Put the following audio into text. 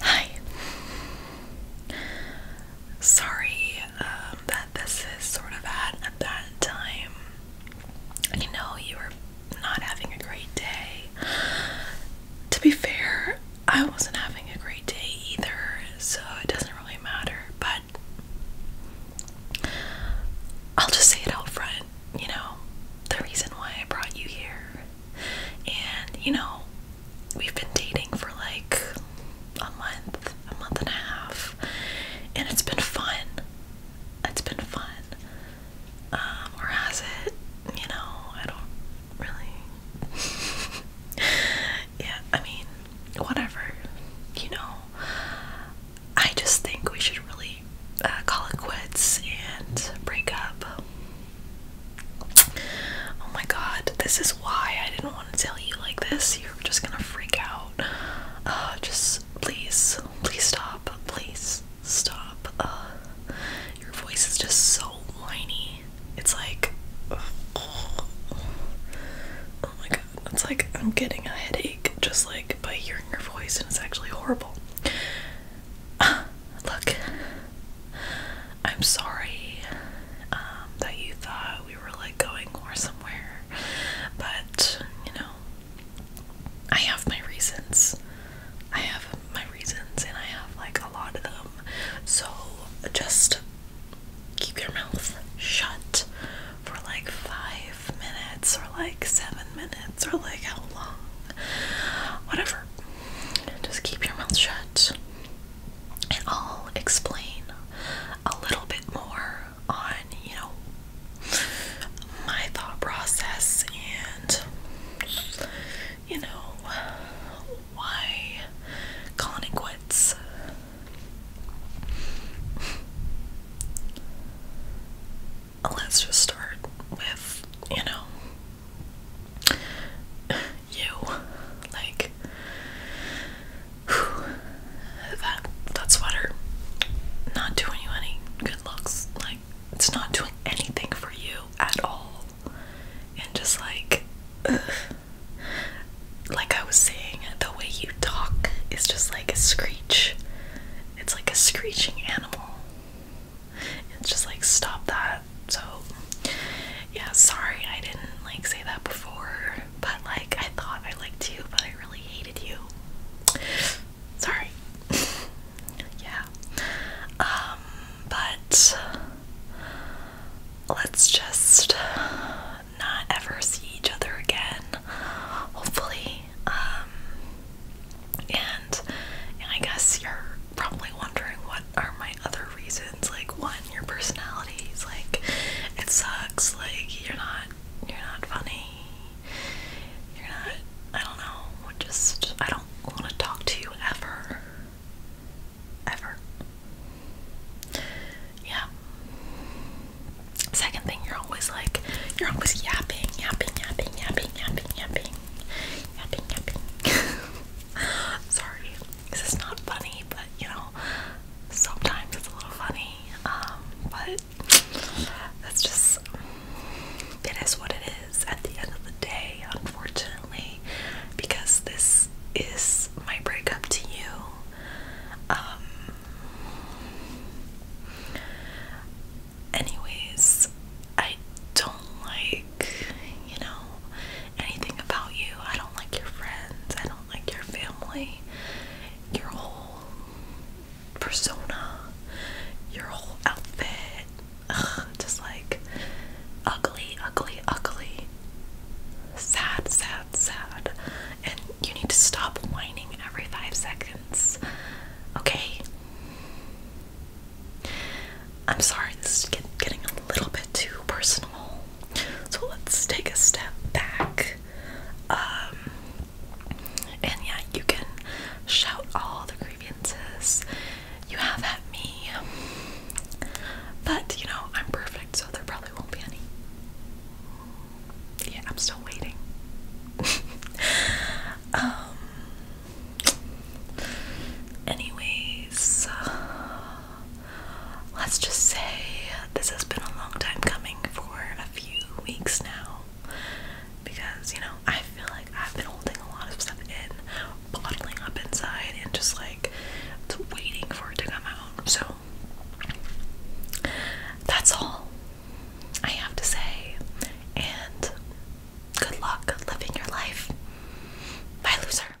Hi. Sorry um, that this is sort of at a time. You know, you were not having a great day. To be fair, I wasn't having a great day either, so it doesn't really matter, but I'll just say it out front you know, the reason why I brought you here. And, you know, we've been dating for like a month, a month and a half. And it's been fun. It's been fun. Um, has it? You know, I don't really. yeah, I mean, whatever. You know, I just think we should really uh, call it quits and break up. Oh my god, this is why I didn't want to tell you like this. You're just gonna freak out. Uh, just please, please stop. Please stop. Uh, your voice is just so whiny. It's like. Oh, my God it's like I'm getting a headache just like by hearing your voice, and it's actually horrible. look, I'm sorry um, that you thought we were like going somewhere, but you know, I have my reasons. I have my reasons, and I have like a lot of them. So just keep your mouth shut for like five minutes or like seven minutes or like how long, whatever. Just keep your mouth shut, and I'll explain a little bit more on you know my thought process and you know why calling quits. Let's just start with, you know, you. Like, that, that sweater, not doing you any good looks. Like, it's not doing anything for you at all. And just like, like I was saying, the way you talk is just like a screech. It's like a screeching animal. It's just like stop that. So yeah, sorry I didn't like say that before, but like I thought I liked you, but I really hated you. Sorry. yeah. Um but let's just not ever see each other again, hopefully. Um, and, and I guess you're probably wondering what are my other reasons. Like, one, your personality is like it sucks. Like, you're not you're not funny. You're not. I don't know. Just I don't don't want to talk to you ever. Ever. Yeah. Second thing, you're always like, you're always yapping, yapping, yapping, yapping, yapping, yapping, yapping, yapping. Sorry, this is not funny, but you know, sometimes it's a little funny. Um, but that's just, it is what it is at the end of the day, unfortunately, because this is my breakup to you. Um, anyways, I don't like, you know, anything about you. I don't like your friends, I don't like your family, your whole persona, your whole outfit. just like ugly, ugly, ugly. Sad, sad, sad. And you need to stop whining every five seconds. Okay? I'm sorry, this is getting a little bit too personal. So let's take a step back. Um, and yeah, you can shout all the grievances you have at me. But, you know, I'm perfect, so there probably won't be any. Yeah, I'm still waiting. um, anyways, uh, let's just say this has been a long time coming for a few weeks now because you know I feel like I've been holding a lot of stuff in, bottling up inside, and just like waiting for it to come out. So that's all I have to say, and good luck living your life. Bye, loser.